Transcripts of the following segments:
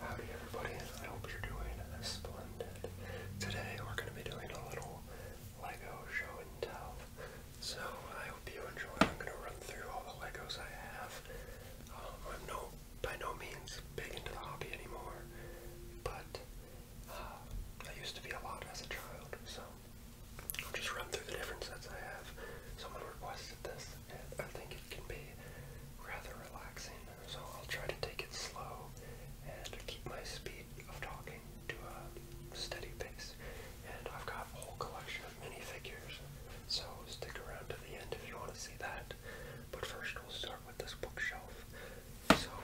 Howdy everybody, I hope you're doing splendid. Today we're going to be doing a little Lego show and tell. So I hope you enjoy. I'm going to run through all the Legos I have. Um, I'm no, by no means big into the hobby anymore, but uh, I used to be a lot as a child, so I'll just run through the different sets I have. Someone requested this, I think it can be rather relaxing, so I'll try to take it slow and keep my speed of talking to a steady pace. And I've got a whole collection of figures, so stick around to the end if you want to see that. But first we'll start with this bookshelf. So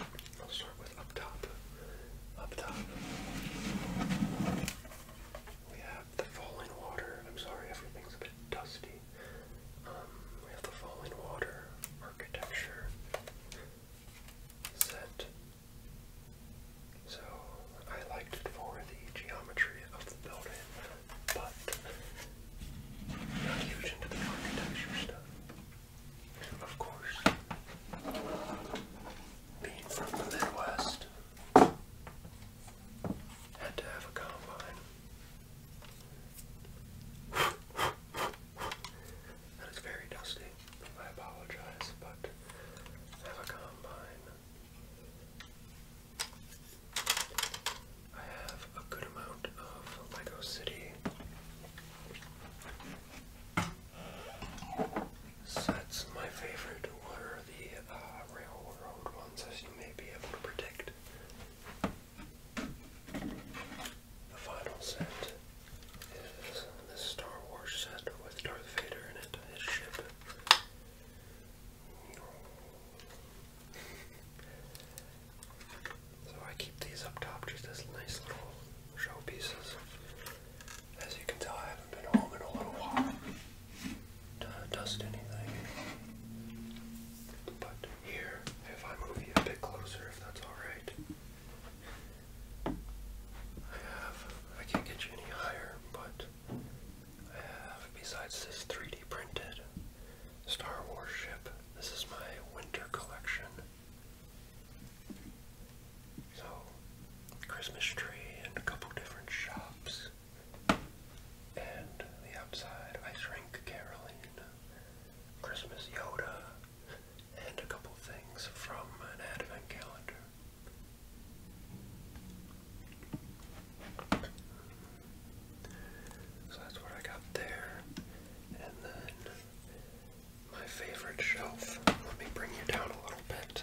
we will start with up top. Up top. We have the falling water. I'm sorry, everything's a bit dusty. Um, we have the falling water architecture set. So I liked it for the geometry of the building, but not huge into the architecture stuff. Of course, being from the Midwest, had to have a combine. That is very dusty. I apologize, but have a combine. I have a good amount of Lego City sets. My favorite were the uh, railroad ones. The final set is this Star Wars set with Darth Vader in it, his ship. So I keep these up top just as nice little showpieces. As you can tell, I haven't been home in a little while dust anything. But here, if I move you a bit closer, if that's alright, I have, I can't get you any higher, but I have, besides this 3D printed Star Wars ship, this is my winter collection. So, Christmas tree and a couple different shops and the outside I Shrink Caroline, Christmas Yoda, and a couple things from an advent calendar. So that's what I got there. And then my favorite shelf. Let me bring you down a little bit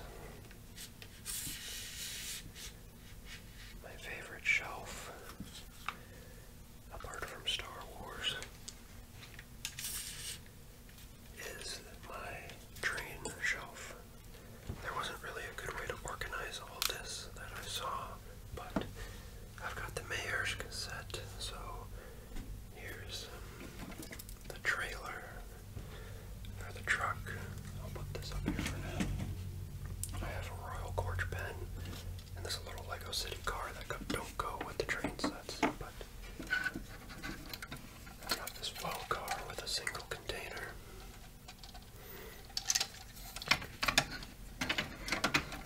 my favorite shelf, apart from Star Wars, is my train shelf. There wasn't really a good way to organize all this that I saw, but I've got the Mayor's cassette, so here's um, the trailer for the truck. I'll put this up here for now. I have a Royal Gorge pen and this little Lego City car that don't go with the train sets, but I have this flow car with a single container.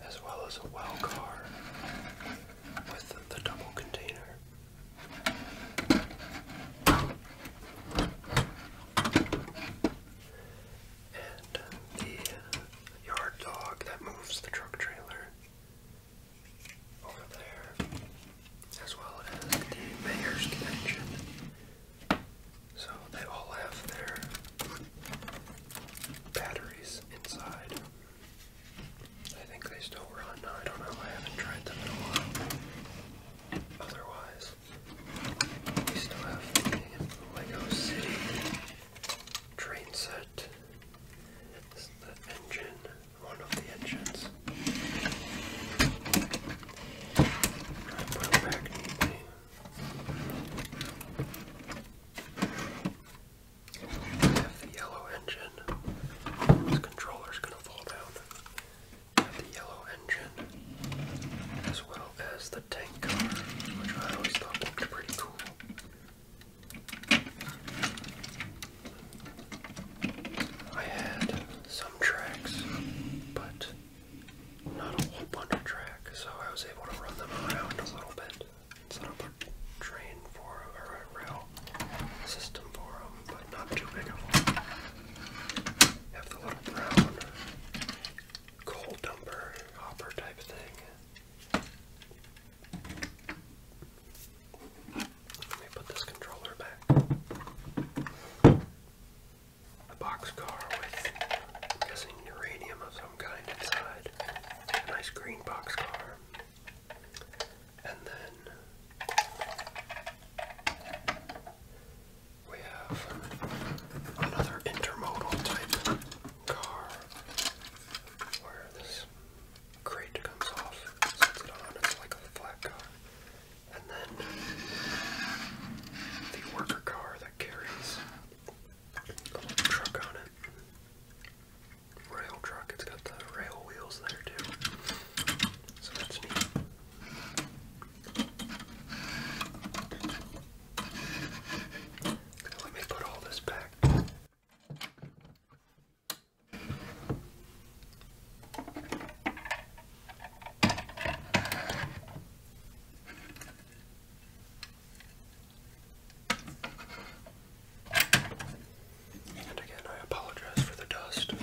As well as a well car with the double container. And the uh, yard dog that moves the truck trailer over there, as well as the mayor's connection. So they all have their batteries inside. I think they still run. I don't know. I haven't tried them in a while. Otherwise, we still have the Lego City train set. This is the engine, one of the engines. I put it back neatly. have the yellow engine. This controller's gonna fall down the yellow engine, as well as the tank car, which I always thought looked pretty cool. I had some tracks, but not a whole bunch of track, so I was able to run them around a little bit. Set up a train for a rail system for them, but not too big of one. Have the little brown coal dumper hopper type thing. Let me put this controller back. A boxcar with, I'm guessing, uranium of some kind inside. A nice green boxcar. And then we have another intermodal type car where this crate comes off, sets it on, it's like a flat car. And then the worker car that carries a truck on it. Rail truck, it's got the rail wheels there too. So that's neat. Let me put all this back. And again, I apologize for the dust.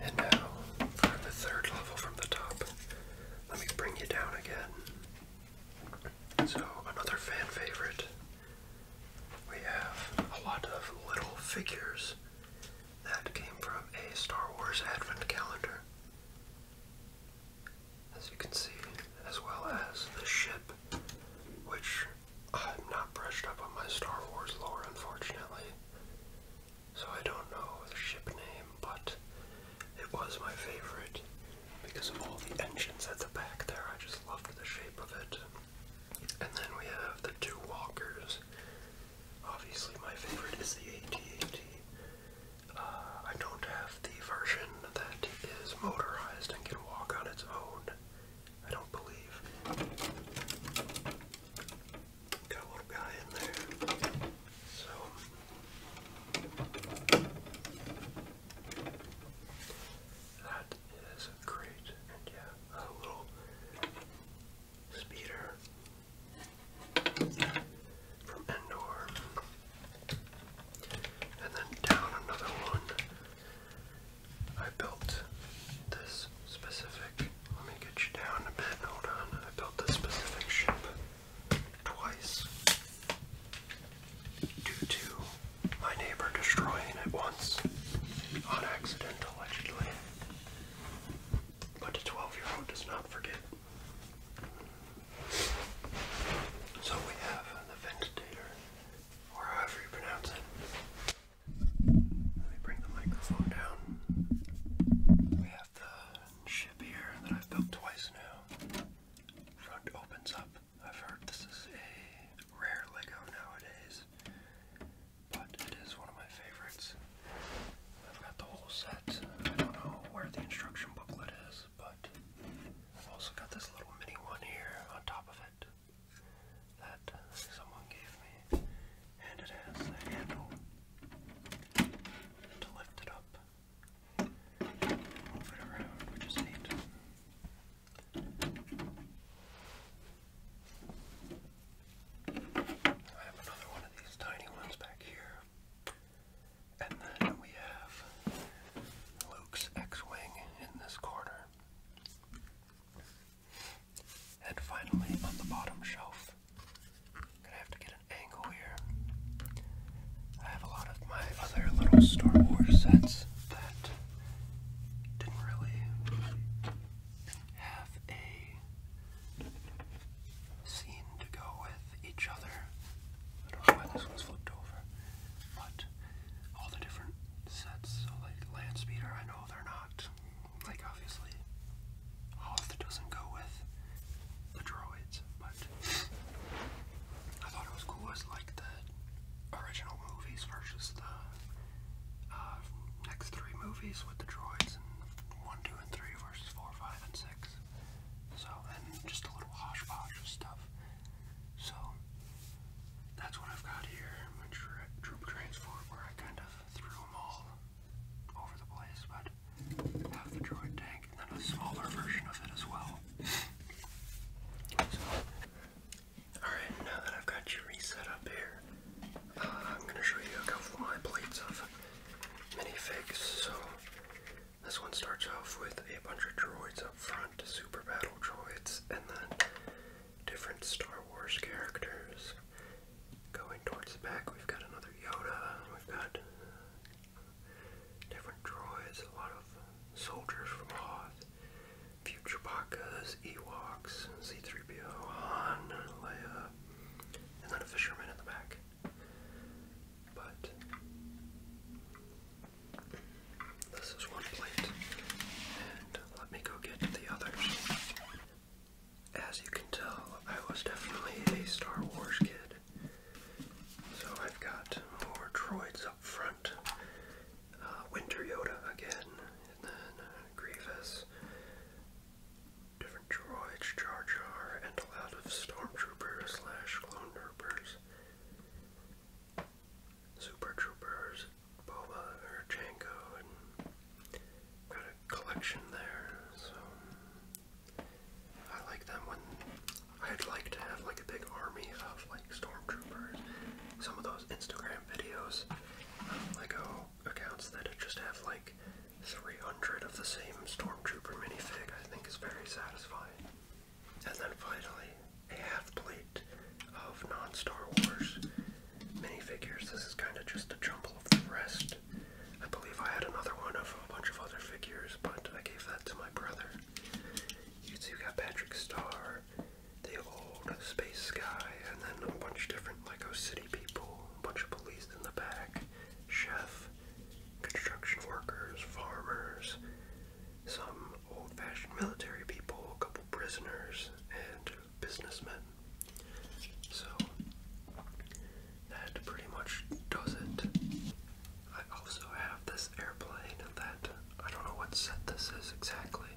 And now, for the third level from the top, let me bring you down again. So, another fan favorite. We have a lot of little figures that came from a Star Wars Advent calendar as you can see, as well as the ship, which I'm not brushed up on my Star Wars lore, unfortunately, so I don't know the ship name, but it was my favorite because of all the engines at the back there. I just loved the shape of it. And then we have the two walkers. Obviously, my favorite is the AT-AT. Uh, I don't have the version that is motorized and can walk on its own. I don't believe. Got a little guy in there. So. That is great. And yeah, a little speeder from Endor. And then down another one. I built this specific. Let me get you down a bit. Hold on. I built this specific ship twice due to my neighbor destroying it once on accident, allegedly. But a 12 year old does not forget. So we have the ventilator, or however you pronounce it. Let me bring the microphone down. We have the ship here that I've built twice now. Front opens up. I've heard this is a rare Lego nowadays, but it is one of my favorites. I've got the whole set. I don't know where the instruction booklet is but I've also got this little mini one here on top of it that uh, someone gave me, and it has a handle to lift it up, move it around, which is neat. I have another one of these tiny ones back here. And then we have Luke's X-Wing in this corner. And finally, on the bottom shelf, gonna have to get an angle here. I have a lot of my other little Star Wars sets that didn't really have a seem to go with each other. I don't know why this one's flipped over, but all the different sets, like Land I know they're not. Like, obviously, Hoth doesn't go with the droids, but I thought it was cool as like the original movies versus the uh, next three movies with the droids and one, two, and three versus four, five, and six. So, and just a little hosh of stuff. So, that's what I've got here. My tra troop transform, where I kind of threw them all over the place, but have the droid tank and then a smaller version of it as well. So, alright, now that I've got you reset up here, uh, I'm going to show you a couple of my plates of minifigs. So, this one starts off with a bunch of droids up front, super battle droids, and then different Star Wars characters. Going towards the back, we've got another Yoda, we've got different droids, a lot of soldiers from Hoth, Future Chewbacca's, Ewoks, C3PO, Han, Leia, and then a fisherman in the back. But this is one plate, and let me go get the others. As you can tell, I was definitely a Star Wars kid. So I've got more droids up front. Uh, Winter Yoda again, and then uh, Grievous, different droids, Jar Jar, and a lot of Stormtroopers. Super Troopers, Boba or Jango, and got a collection there. So I like that one. I'd like to have like a big army of like stormtroopers. Some of those Instagram videos, um, accounts that just have like 300 of the same Stormtrooper minifig I think is very satisfying. And then finally, a half plate of non-Star Wars minifigures. This is kind of just a jumble of the rest. I believe I had another one of a bunch of other figures, but I gave that to my brother. You see, got Patrick Starr, the old space guy, and then a bunch of different Lego City people, a bunch of police in the back, chef, construction workers, farmers, some old-fashioned military people, a couple prisoners, and businessmen. So that pretty much does it. I also have this airplane that I don't know what set this is exactly,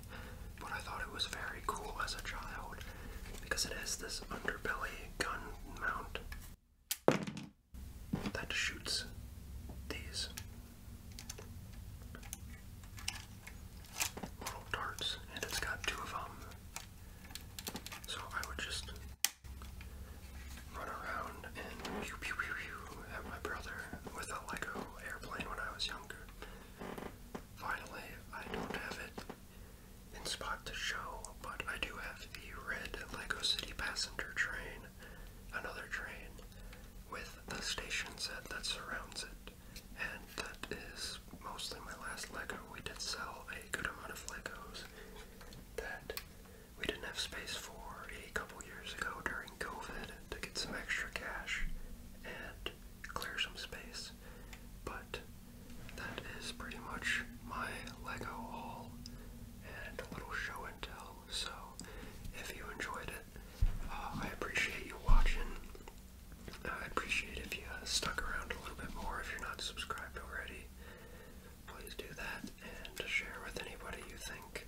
but I thought it was very cool as a child because it this underbelly gun mount that shoots these little darts, and it's got two of them. So I would just run around and pew pew pew pew at my brother with a Lego airplane when I was younger. Finally, I don't have it in spot to show, but I do have the red Lego City passenger train, another train, with the station set that surrounds it. And that is mostly my last Lego. We did sell a good amount of Legos that we didn't have space for a couple years ago during COVID to get some extra cash and clear some space. But that is pretty much my Lego haul and a little show and tell. So if you enjoyed it, uh, I appreciate you watching. I appreciate if you stuck around a little bit more. If you're not subscribed already, please do that and share with anybody you think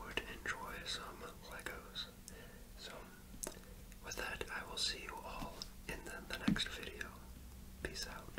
would enjoy some Legos. So, with that, I will see you all in the next video. Peace out.